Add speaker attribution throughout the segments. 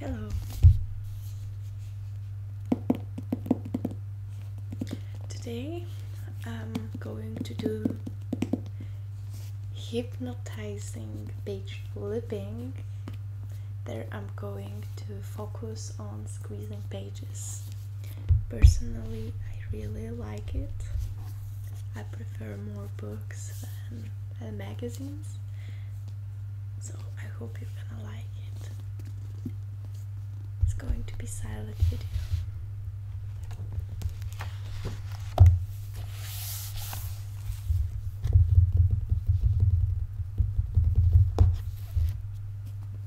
Speaker 1: Hello. Today I'm going to do hypnotizing page flipping. There I'm going to focus on squeezing page. Personally, I really like it. I prefer more books than magazines,
Speaker 2: so I hope you're gonna like it. It's going to be silent video.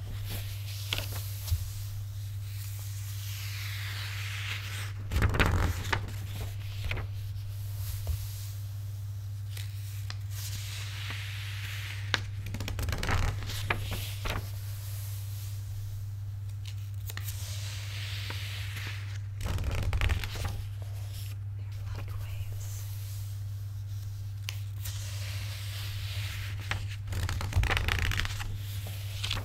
Speaker 2: They're light waves. They're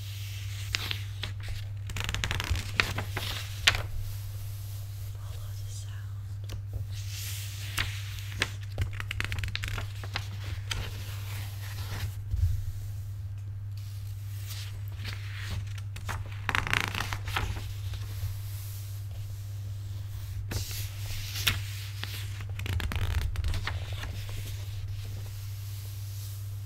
Speaker 2: Follow the sound. All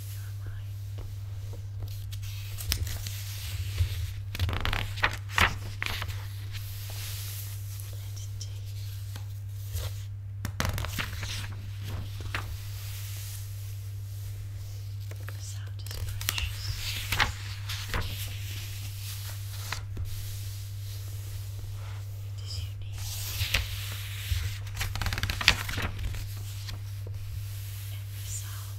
Speaker 3: your mind. Let it take. The sound is precious. It is unique. Every sound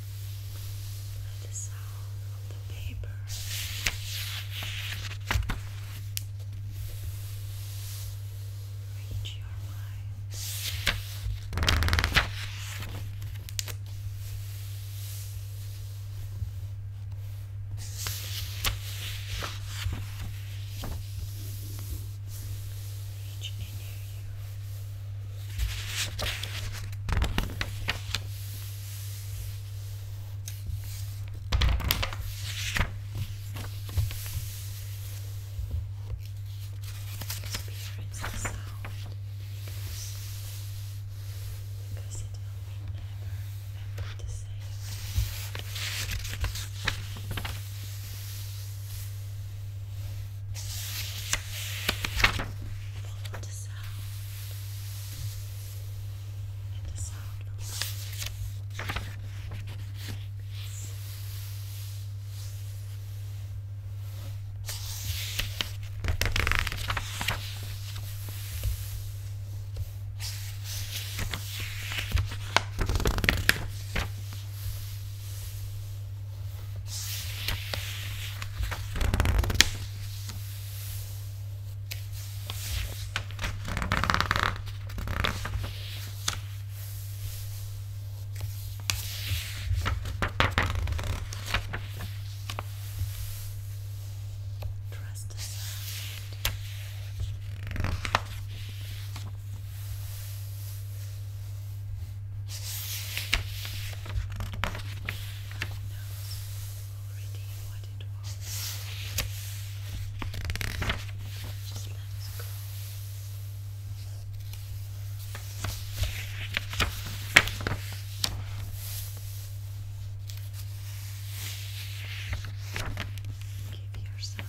Speaker 3: the sound of the paper. Reach your mind. Reach in you. Experience the sound because, it will never ever the same and a sound of love. Now, Trust the sound. Nose already what Just let us go. Give yourself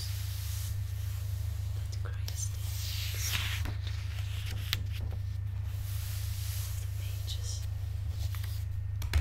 Speaker 3: Let's cross the side of the pages. Okay.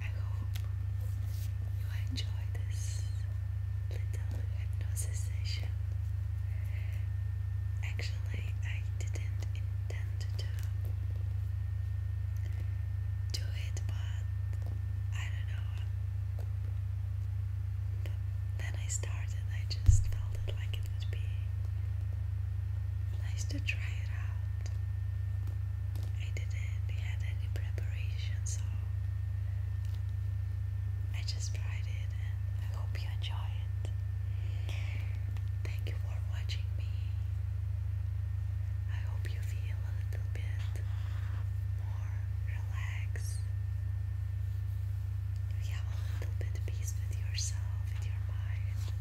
Speaker 3: I hope you enjoy this little hypnosis session. Actually, I didn't intend to do it, but I don't know. then I started, I just felt like it would be nice to try it out. I didn't had any preparation, so I just tried it
Speaker 4: I hope you enjoy it. Thank you for watching me. I hope you feel a little bit more relaxed. You have a little bit peace with yourself, with your mind.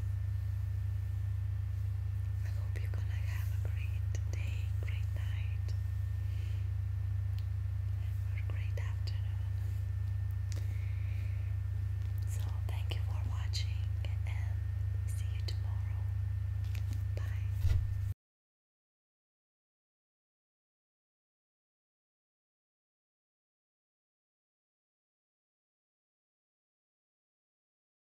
Speaker 4: I hope you're gonna have a great day, great night,
Speaker 3: or great afternoon. So, thank you for watching and see you tomorrow. Bye.